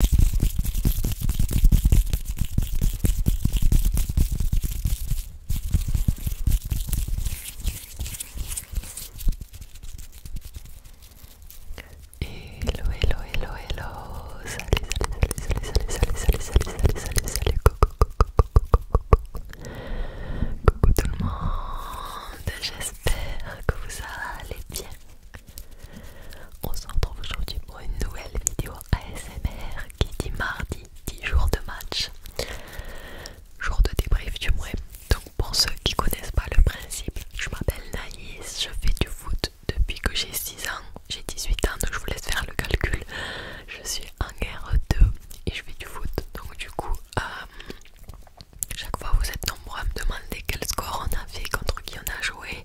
Hello, hello, hello, hello. Salut, salut, salut, salut, Coucou tout le monde. J'espère que vous allez bien. On se retrouve aujourd'hui pour une nouvelle vidéo ASMR qui dit mardi, 10 jours de match, jour de débrief du moins. Donc pour ceux qui connaissent pas le principe, je m'appelle Naïs, je fais du foot depuis que j'ai 6 ans, j'ai 18 ans donc je vous laisse faire le calcul. Je suis en guerre 2 et je fais du foot donc du coup euh, chaque fois vous êtes nombreux à me demander quel score on a fait, contre qui on a joué,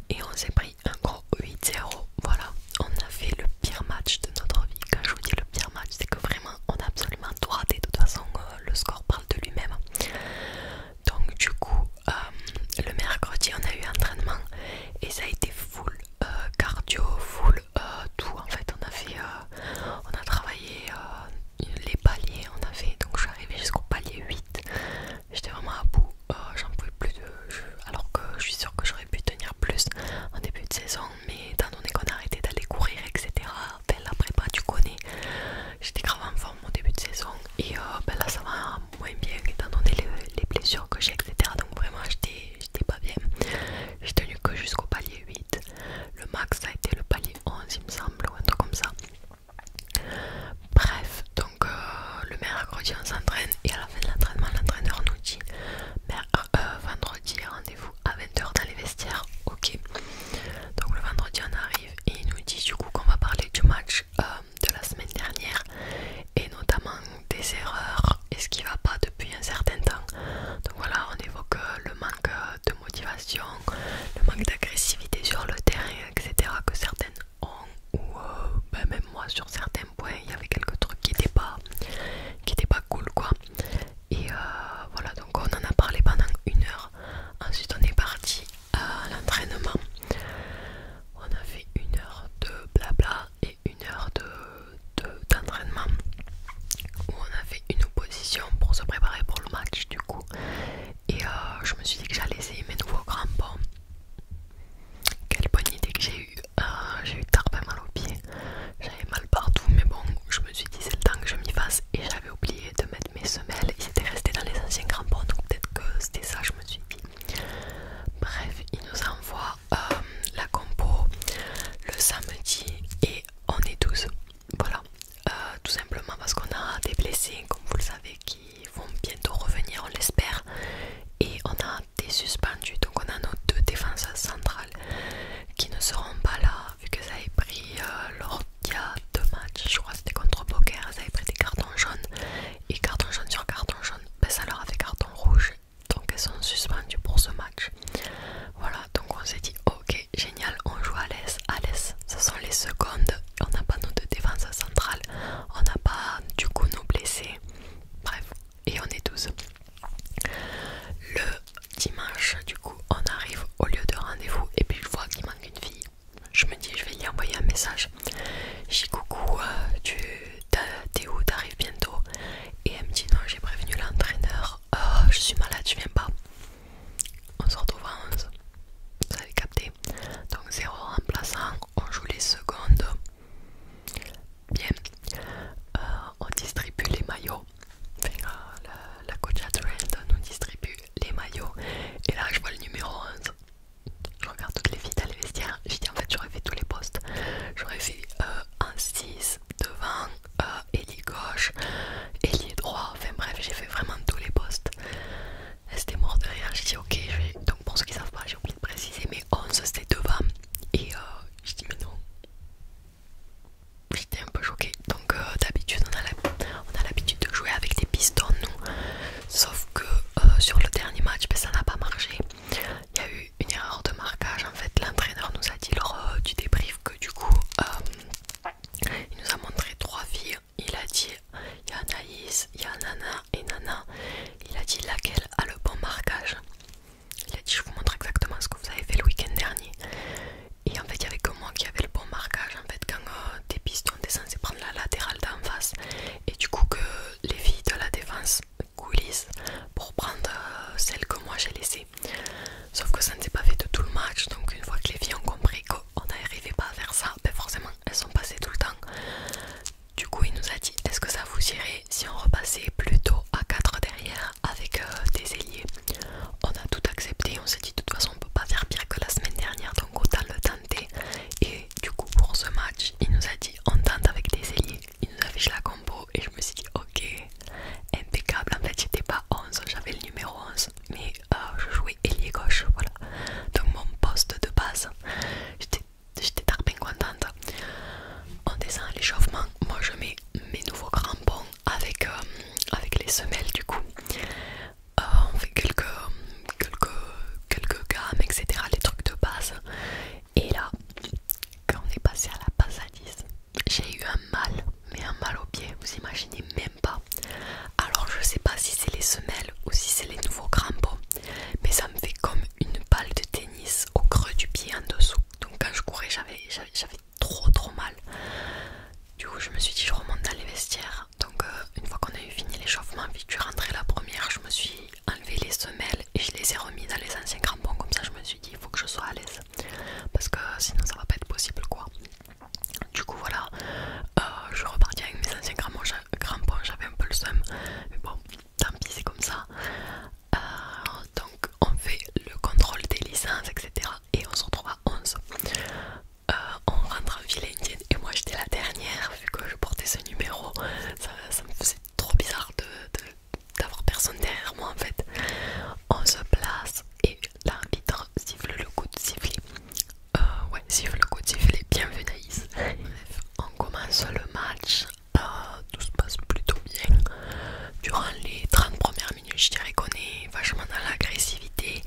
et on s'est pris un gros 8-0. Voilà, on a fait le pire match de notre vie. Quand je vous dis le pire match, c'est que vraiment on a absolument tout raté. De toute façon, euh, le score parle de lui-même. Donc, du coup, euh, le mercredi, on a eu entraînement et ça a été full euh, cardio, full tout. En fait, on a fait, on a travaillé les paliers. On a fait, donc je suis arrivée jusqu'au palier 8. J'étais vraiment à bout, euh, j'en pouvais plus de alors que je suis sûre que j'aurais pu tenir plus en début de saison, mais étant donné qu'on a arrêté d'aller courir, etc., ben, la prépa, tu connais, j'étais grave en forme au début de saison, et euh, ben là ça va moins bien étant donné les, blessures que j'ai, etc., donc vraiment j'étais pas bien. J'ai tenu que jusqu'au palier 8, le max ça a été le palier 11, il me semble, ou un truc comme ça. Bref, donc euh, le mercredi on s'entraîne et à la fin de l'entraînement, l'entraîneur nous dit euh, euh, vendredi rendez-vous à 20h dans les vestiaires. Ok, donc le vendredi on arrive et il nous dit du coup qu'on va parler du match de la semaine dernière et notamment des erreurs et ce qui va pas depuis un certain temps. Donc voilà, on évoque le manque de motivation, le manque d'agressivité sur le terrain, etc. que certaines ou euh, bah, même moi sur certains points il y avait quelques trucs qui n'étaient pas qui pas cool quoi et euh, voilà donc on en a parlé pendant une heure ensuite on est parti à l'entraînement on a fait une heure de blabla et une heure de d'entraînement où on a fait une opposition pour se préparer pour le match du coup et euh, je me suis dit que j'allais essayer mes nouveaux crampons. Quelle bonne idée que j'ai eue. Euh, j'ai eu pas mal au pied J'avais mal partout mais bon je me suis dit c'est le temps que je m'y fasse et j'avais oublié de mettre mes semelles. Ils étaient restés dans les anciens crampons donc peut-être que c'était ça je me suis dit. Bref, il nous envoie euh, la compo le samedi et on est douze. Voilà, euh, tout simplement parce qu'on a des blessés comme vous le savez qui vont bientôt revenir on l'espère et on a des suspendus donc on a nos deux défenseurs centrales qui ne seront pas là vu que ça a pris euh, lors il y a deux matchs je crois c'était contre Poker ça a pris des cartons jaunes et carton jaune sur carton jaune ben, ça leur a fait carton rouge donc elles sont suspendues pour ce match voilà donc on s'est dit ok génial on joue à l'aise à l'aise ce sont les secondes on n'a pas notre défense centrale, on n'a pas du coup nos blessés, bref, et on est 12. Le dimanche, du coup, on arrive au lieu de rendez-vous et puis je vois qu'il manque une fille. Je me dis, je vais lui envoyer un message. dis coucou, euh, tu t'es où, t'arrives bientôt Et elle me dit, non, j'ai prévenu l'entraîneur, oh, je suis malade, je viens pas on se retrouve en 11 vous avez capté donc 0 remplaçant on joue les secondes bien euh, on distribue les maillots la, coach coach Trend nous distribue les maillots et là je vois le numéro 11 je regarde toutes les filles à les vestiaires je dis en fait j'aurais fait tous les postes j'aurais fait euh, 6 devant et euh, ailier gauche ailier droit enfin bref j'ai fait vraiment tous les postes c'était mort de J'ai dit ok, donc pour ceux qui savent pas, j'ai oublié de préciser, mais 11 c'était devant. Et euh, j'ai dit mais non. J'étais un peu choquée. Donc euh, d'habitude on a l'habitude de jouer avec des pistons nous. Sauf que euh, sur le dernier match, ben, ça n'a pas marché. Il y a eu une erreur de marquage. En fait, l'entraîneur nous a dit lors du débrief que du coup... il nous a montré trois filles il a dit il y a Anaïs, il y a Nana et Nana. Il a dit laquelle a le bon marquage. Il a dit je vous montre exactement ce que vous avez fait le week-end dernier. Et en fait, il n'y avait que moi qui avait le bon marquage. En fait, quand euh, des tes pistons, t'es c'est prendre la latérale d'en face. Et du coup, que les filles de la défense coulissent pour prendre euh, celle que moi j'ai laissée. Sauf que ça ne s'est pas fait de tout le match. Donc, une fois que les filles ont compris on n'arrivait pas à faire ça, mais ben forcément elles sont passées tout le temps. Du coup il nous a dit est-ce que ça vous irait si on repassait plutôt à 4 derrière avec euh, des ailiers On a tout accepté, on s'est dit de toute façon on peut pas faire pire que la semaine dernière donc autant le tenter. Et du coup pour ce match il nous a dit on tente avec des ailiers. Il nous affiche la combo et je me suis dit ok impeccable en fait j'étais pas 11 j'avais le numéro 11 mais euh, je jouais ailier gauche, voilà. Donc mon poste de base, j'étais tarpin contente. On descend à l'échauffement, moi je mets mes nouveaux crampons avec, euh, avec les semelles du coup. Euh, on fait quelques, quelques, gammes, etc. Les trucs de base. Et là, quand on est passé à la base à 10 j'ai eu un mal, mais un mal au pied, vous imaginez, même pas. Alors je sais pas si c'est les semelles ou si c'est les nouveaux crampons, mais ça me fait comme une balle de tennis au creux du pied en dessous. Donc quand je courais, j'avais j'avais trop trop mal. Du coup, je me suis dit, je remonte dans les vestiaires. Donc euh, une fois qu'on a eu fini l'échauffement, vu que je rentrais la première, je me suis enlevé les semelles et je les ai remis dans les anciens crampons. Comme ça, je me suis dit, il faut que je sois à l'aise parce que sinon ça va pas être possible quoi. Du coup, voilà, euh, je suis avec mes anciens crampons, j'avais un peu le seum, mais bon, tant pis, c'est comme ça. Euh, donc, on fait le contrôle des licences, etc. Et on se retrouve à 11. Euh, on rentre en ville indienne et moi j'étais la dernière vu que je portais ce numéro. Ça, me faisait trop bizarre d'avoir personne derrière moi en fait. On se place, et l'arbitre siffle le coup de siffler. Euh, ouais, siffle le coup de siffler bienvenue Naïs. on commence le match, euh, tout se passe plutôt bien. Durant les 30 premières minutes, je dirais qu'on est vachement dans l'agressivité,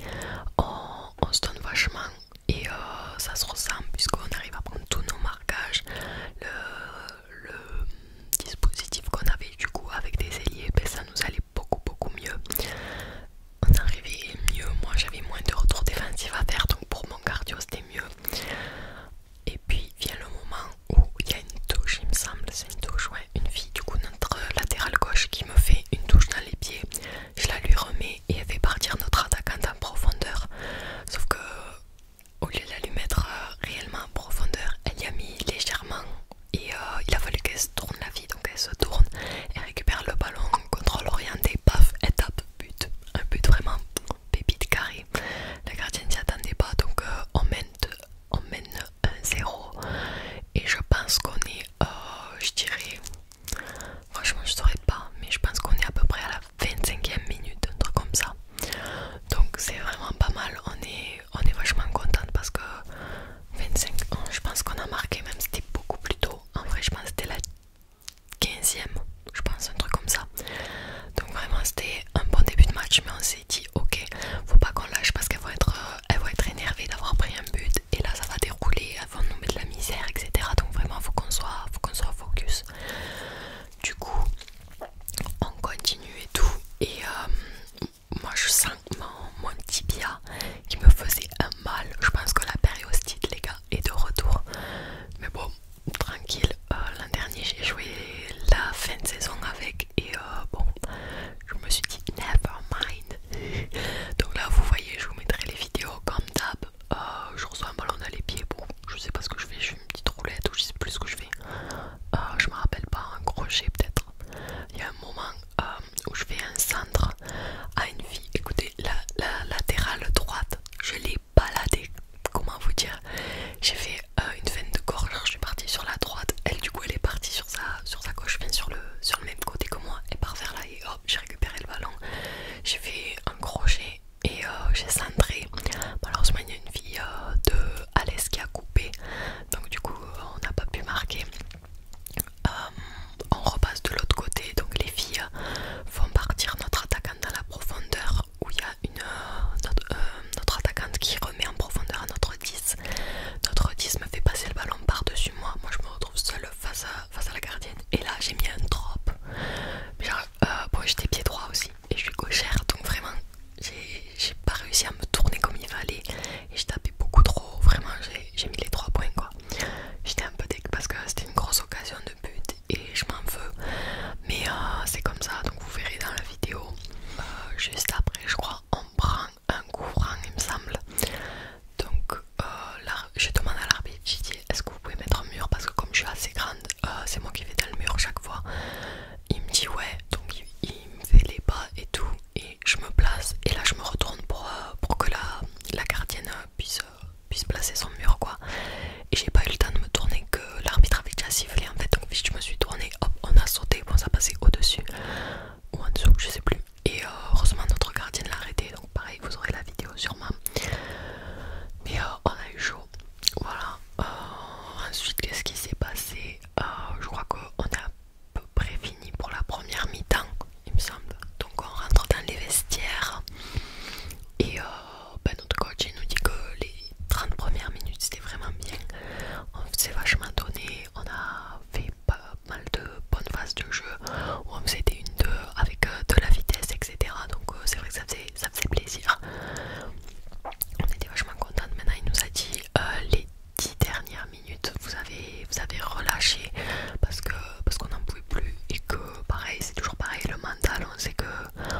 on, se donne vachement et euh, ça se ressemble puisqu'on arrive à prendre tous nos marquages. Le, dispositif qu'on avait du coup avec des ailiers, ben, ça nous allait beaucoup beaucoup mieux on arrivait mieux. Moi j'avais moins de retour défensif à faire, donc pour mon cardio c'était mieux. Et puis vient le moment où il y a une touche, il me semble, c'est une touche, ouais, une fille du coup, notre latérale gauche qui me fait une touche dans les pieds. Je la lui remets et elle fait partir notre attaquante en profondeur. Sauf que au lieu de la lui mettre euh, réellement en profondeur, elle y a mis légèrement et euh, il a fallu qu'elle se tourne la vie, donc elle se tourne, elle récupère le ballon, contrôle orienté, paf, étape, but, un but vraiment pépite carré. La gardienne ne s'y attendait pas, donc euh, on mène, on mène un 0 et je pense qu'on est, euh, je dirais, franchement je saurais pas, mais je pense qu'on est à peu près à la 25e minute, un truc comme ça. Donc c'est vraiment pas mal, on est on est vachement contente parce que 25 ans, je pense qu'on a marqué, même c'était beaucoup plus tôt. En vrai, je pense que c'était la 15e, je pense, un truc comme ça. Donc, vraiment, c'était un bon début de match, mais on s'est dit, ok, faut pas qu'on lâche parce qu'elles vont être, euh, elles vont être énervées d'avoir pris un but et là, ça va dérouler, elles vont nous mettre de la misère, etc. Donc, vraiment, faut qu'on soit, qu'on soit focus. Du coup, on continue et tout. Et euh, moi je sens mon, tibia qui me faisait un mal. Je pense que la périostite, les gars, est de retour. Mais bon, tranquille. Euh, l'an dernier, j'ai joué la fin de saison avec et euh, bon, je me suis dit never mind. Donc là, vous voyez, je vous mettrai les vidéos comme d'hab. Euh, je reçois un ballon dans les pieds. Bon, je sais pas ce que je fais. Je fais une petite roulette ou je sais plus ce que je fais. je me rappelle pas. Un crochet peut-être. Il y a un moment euh, où je fais un centre à une fille. Écoutez, la, latérale droite, je l'ai baladée. Comment vous dire J'ai fait euh, une veine de gorge, je suis partie sur la droite. Elle, du coup, elle est partie sur sa, sur sa gauche, bien sur le, sur le même côté que moi. Et par vers là et hop, j'ai récupéré le ballon. J'ai fait un crochet et euh, j'ai centré. alors il y a une fille de Alès qui a coupé. Donc, du coup, on n'a pas pu marquer. Euh, on repasse de l'autre côté, donc les filles font partir notre attaquante dans la profondeur où il y a une, euh, euh, notre, attaquante qui remet en profondeur à notre 10. Notre 10 me fait passer le ballon par-dessus moi. Moi je me retrouve seule face à, face à la gardienne. Et là j'ai mis un drop. bon, j'étais pied droit aussi et je suis gauchère donc vraiment j'ai pas réussi à me tourner comme il fallait et j'ai tapé beaucoup trop, vraiment j'ai mis les trois points quoi. J'étais un peu deg parce que c'était une grosse occasion de but et je m'en veux. Mais euh, c'est comme ça, donc vous verrez dans la vidéo. Euh, juste après je crois on prend un courant il me semble. Donc euh, là, je demande à l'arbitre, j'ai dit est-ce que vous pouvez mettre un mur parce que comme je suis assez grande, c'est moi qui vais dans le mur chaque fois. Il me dit ouais, donc il, me fait les pas et tout et je me place et là je me retourne pour, euh, pour que la, la gardienne euh, puisse, euh, puisse placer son mur quoi et j'ai pas eu le temps de me tourner que l'arbitre avait déjà sifflé en fait donc je me suis tournée hop on a sauté bon ça passait au dessus ou en dessous je sais plus et heureusement notre gardienne l'a arrêté donc pareil vous aurez la vidéo sûrement mais on a eu chaud voilà ensuite qu'est ce qui s'est passé je crois qu'on a peu près fini pour la première mi-temps, il me semble. Donc on rentre dans les vestiaires et euh, ben notre coach il nous dit que les 30 premières minutes c'était vraiment bien. On s'est vachement donné, on a fait pas mal de bonnes phases de jeu on faisait une deux avec euh, de la vitesse, etc. Donc euh, c'est vrai que ça faisait, ça plaisir. On était vachement content Maintenant il nous a dit les dix dernières minutes vous avez vous avez relâché parce que parce qu'on n'en pouvait plus et que pareil c'est toujours pareil le mental on sait que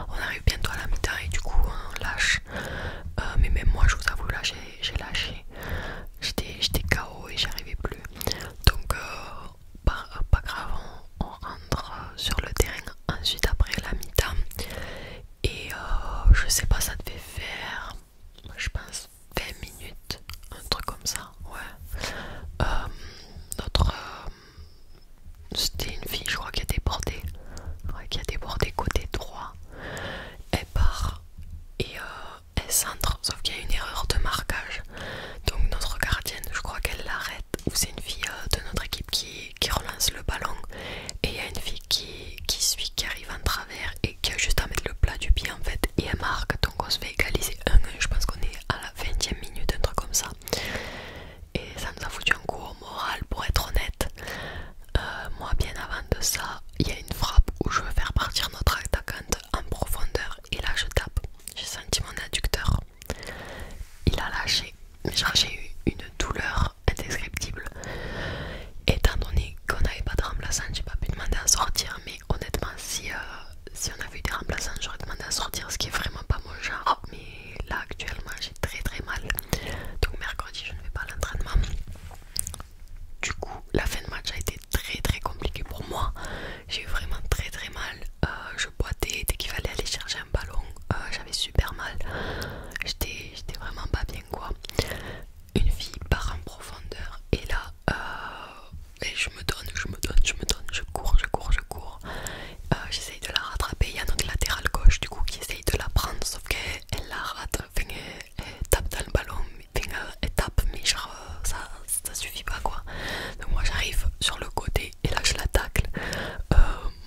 on arrive bientôt à la mi-temps et du coup on lâche euh, mais même moi je vous avoue là j'ai lâché j'étais KO et j'arrivais plus donc euh, pas, grave on, rentre sur le terrain ensuite après la mi-temps et euh, je sais pas ça devait faire je pense, 20 minutes, un truc comme ça, ouais. Euh, notre. Euh, c'était une fille, je crois, qui a débordé, qui a débordé côté droit. Elle part et euh, elle centre, sauf qu'il y a une erreur de marquage. Donc, notre gardienne, je crois qu'elle l'arrête, ou c'est une fille de notre équipe qui, qui relance le ballon, et il y a une fille qui, qui suit, qui arrive en train et qui a juste à mettre le plat du pied en fait et elle marque donc on se fait égaliser 1 je pense qu'on est à la 20 e minute un truc comme ça et ça nous a foutu un coup au moral pour être honnête euh, moi bien avant de ça il y a une frappe où je veux faire partir notre attaquante en profondeur et là je tape j'ai senti mon adducteur il a lâché mais genre j'ai eu une douleur indescriptible. Étant donné qu'on n'avait pas de remplaçant, j'ai pas pu demander à sortir, mais honnêtement, si, euh, si on avait eu des remplaçants, j'aurais demandé à sortir, ce qui est vraiment pas mon genre. Oh, mais là, actuellement, j'ai très très mal. Donc, mercredi, je ne vais pas à l'entraînement. Du coup, la fin de match a été très très compliquée pour moi. J'ai vraiment très très mal. Euh, je boitais dès qu'il fallait aller chercher un ballon. Euh, j'avais super mal. J'étais vraiment pas bien quoi Une fille part en profondeur et là euh, et je me donne, je me donne, je me donne, je cours, je cours, je cours. Euh, j'essaye de la rattraper. Il y a notre latéral gauche du coup qui essaye de la prendre, sauf qu'elle la rate, elle, tape dans le ballon, enfin, euh, elle tape, mais ça, suffit pas quoi. Donc moi j'arrive sur le côté et là je la tacle.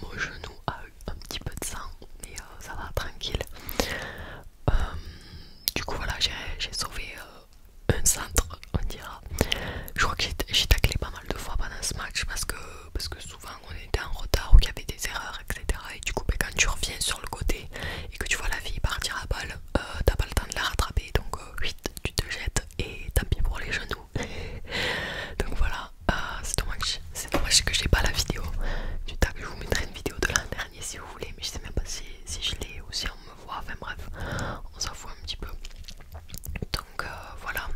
mon genou a un petit peu de sang, mais euh, ça va tranquille. Euh, du coup, voilà, j'ai sauvé euh, un centre, on dira. Je crois que j'ai taclé pas mal de fois pendant ce match parce que, parce que souvent on était en retard ou qu'il y avait des erreurs, etc. Et du coup, ben, quand tu reviens sur le côté et que tu vois la fille partir à balle, t'as pas le temps de la rattraper donc, vite, tu te jettes et tant pis pour les genoux. donc voilà, ah, c'est dommage, dommage que j'ai pas la vidéo du tag. Je vous mettrai une vidéo de l'an dernier si vous voulez, mais je sais même pas si, je l'ai ou si on me voit. Enfin bref, on s'en fout un petit peu. Donc euh, voilà,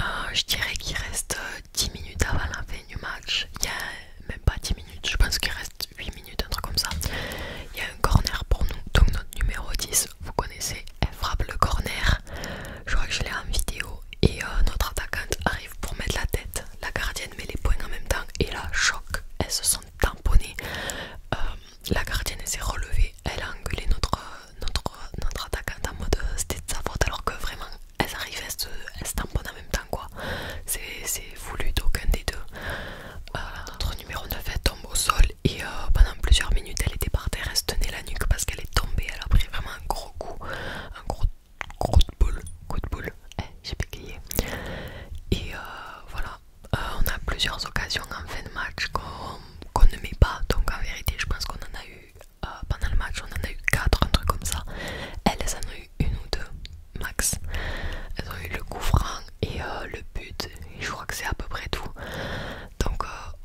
euh, je dirais qu'il reste 10 euh, minutes avant la fin du match. Il y a même pas 10 minutes, je pense qu'il reste 8 minutes, un truc comme ça. Il y a un corner pour nous, donc notre numéro 10, vous connaissez, elle frappe le corner. Je crois que je l'ai en vidéo et euh, notre attaquante arrive pour mettre la tête. La gardienne met les poings en même temps et là, choc, elles se sont tamponnées. Euh, la gardienne s'est relevée, elle a engueulé notre, euh, notre, notre attaquante en mode c'était de sa faute alors que vraiment elles arrivent, elles se, tamponnent en même temps quoi. C'est voulu d'aucun des deux. notre numéro 9 tombe au sol et pendant plusieurs minutes elle était par terre, elle se tenait la nuque parce qu'elle est tombée, elle a pris vraiment un gros coup, un gros Coup de boule, coup de boule, eh, j'ai bégayé. Et euh, voilà, euh, on a plusieurs occasions en fin de match qu'on ne met pas. Donc en vérité, je pense qu'on en a eu, euh, pendant le match, on en a eu quatre un truc comme ça. Elles, en ont eu une ou deux, max. Elles ont eu le coup franc et le but. Et je crois que c'est à peu près tout. Donc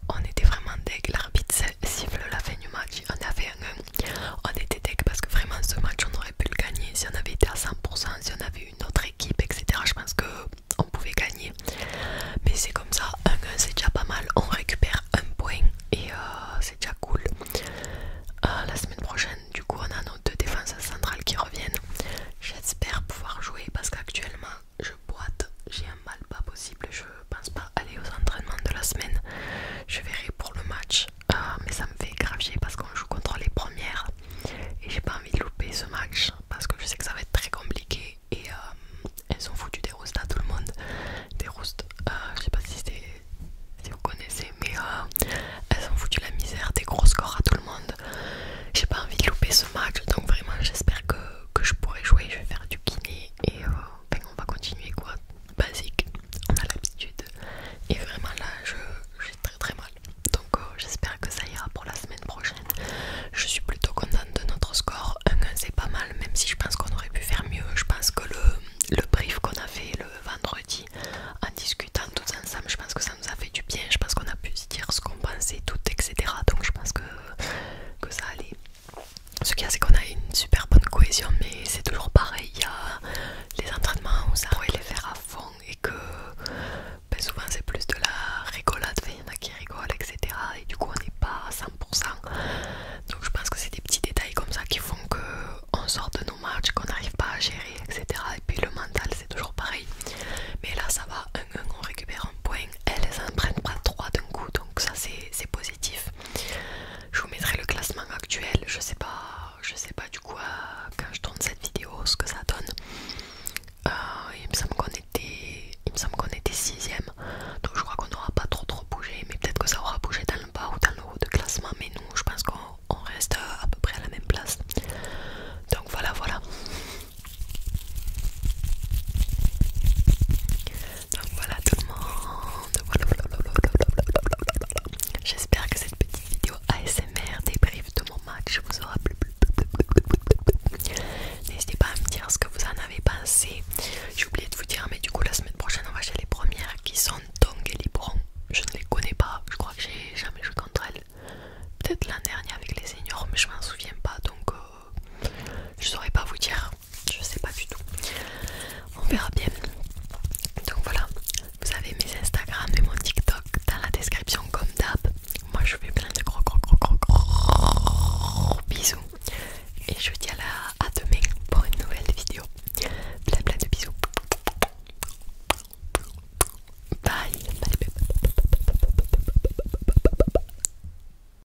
on était vraiment deg. L'arbitre siffle la fin du match, on a fait un 1, on était tech parce que vraiment ce match on aurait pu le gagner si on avait été à 100%, si on avait une autre équipe, etc. Je pense que on pouvait gagner, mais c'est comme ça, un 1 c'est déjà pas mal, on récupère un point et euh, c'est déjà cool. Euh, la semaine prochaine, du coup, on a nos deux défenses centrales qui reviennent. J'espère pouvoir jouer parce qu'actuellement je boite, j'ai mal pas possible. Je pense pas aller aux entraînements de la semaine. Je verrai pour le match. Euh, mais ça me fait gravier parce qu'on joue contre les premières. Et j'ai pas envie de louper ce match parce que je sais que ça va être très compliqué. Et euh, elles ont foutu des roustes à tout le monde. Des roustes, euh, je sais pas si c'est si vous connaissez, mais elles ont foutu la misère, des gros scores à tout le monde. J'ai pas envie de louper ce match, donc vraiment j'espère que, je pourrai jouer. Je vais faire du kiné et ben, on va continuer quoi, basique, on a l'habitude. Et vraiment là, j'ai très très mal. Donc euh, j'espère que ça ira pour la semaine prochaine. Je suis plutôt contente de notre score. 1-1 c'est pas mal, même si je pense qu'on aurait pu faire mieux. Je pense que le, brief qu'on a fait le vendredi, en discutant tous ensemble, je pense que ça nous a fait du bien. Je pense qu'on a pu se dire ce qu'on pensait, tout, etc. Donc je pense que, que ça allait. Ce qu'il y a, c'est qu'on a une super bonne cohésion, mais c'est toujours pareil. Il y a les entraînements où ça pourrait les faire à fond et que ben, souvent c'est plus de la rigolade. Il y en a qui rigolent, etc. Et du coup, on n'est pas à 100%. Donc, je pense que c'est des petits détails comme ça qui font qu'on sort de nos matchs, qu'on n'arrive pas à gérer, etc. Et puis, le mental, c'est toujours pareil. Mais là, ça va. Un, un, on récupère un point. Elles en prennent pas trois d'un coup. Donc, ça, c'est possible. Je vous mettrai le classement actuel, je sais pas, je sais pas du coup euh, quand je tourne cette vidéo ce que ça donne. Euh, il me semble qu'on était, il me semble qu'on était sixième, donc je crois qu'on n'aura pas trop trop bougé, mais peut-être que ça aura bougé dans le bas ou dans le haut de classement, mais nous je pense qu'on reste euh, à peu près à la même place. Donc voilà voilà. Donc voilà tout le monde. J'espère que cette petite vidéo ASMR débrief de mon match vous aura plu. N'hésitez pas à me dire ce que vous en avez pensé. J'ai oublié de vous dire, mais du coup, la semaine prochaine, on va chez les premières qui sont Tong et Libron. Je ne les connais pas, je crois que j'ai jamais joué contre elles. Peut-être l'an dernier avec les seniors, mais je m'en souviens pas donc je euh, je saurais pas vous dire je sais pas du tout. On verra bien. Donc voilà, vous avez mes Instagram et mon TikTok dans la description comme d'hab. Moi je fais plein de gros gros gros gros bisous. Et je vous dis à, demain pour une nouvelle vidéo. Plein plein de bisous. Bye.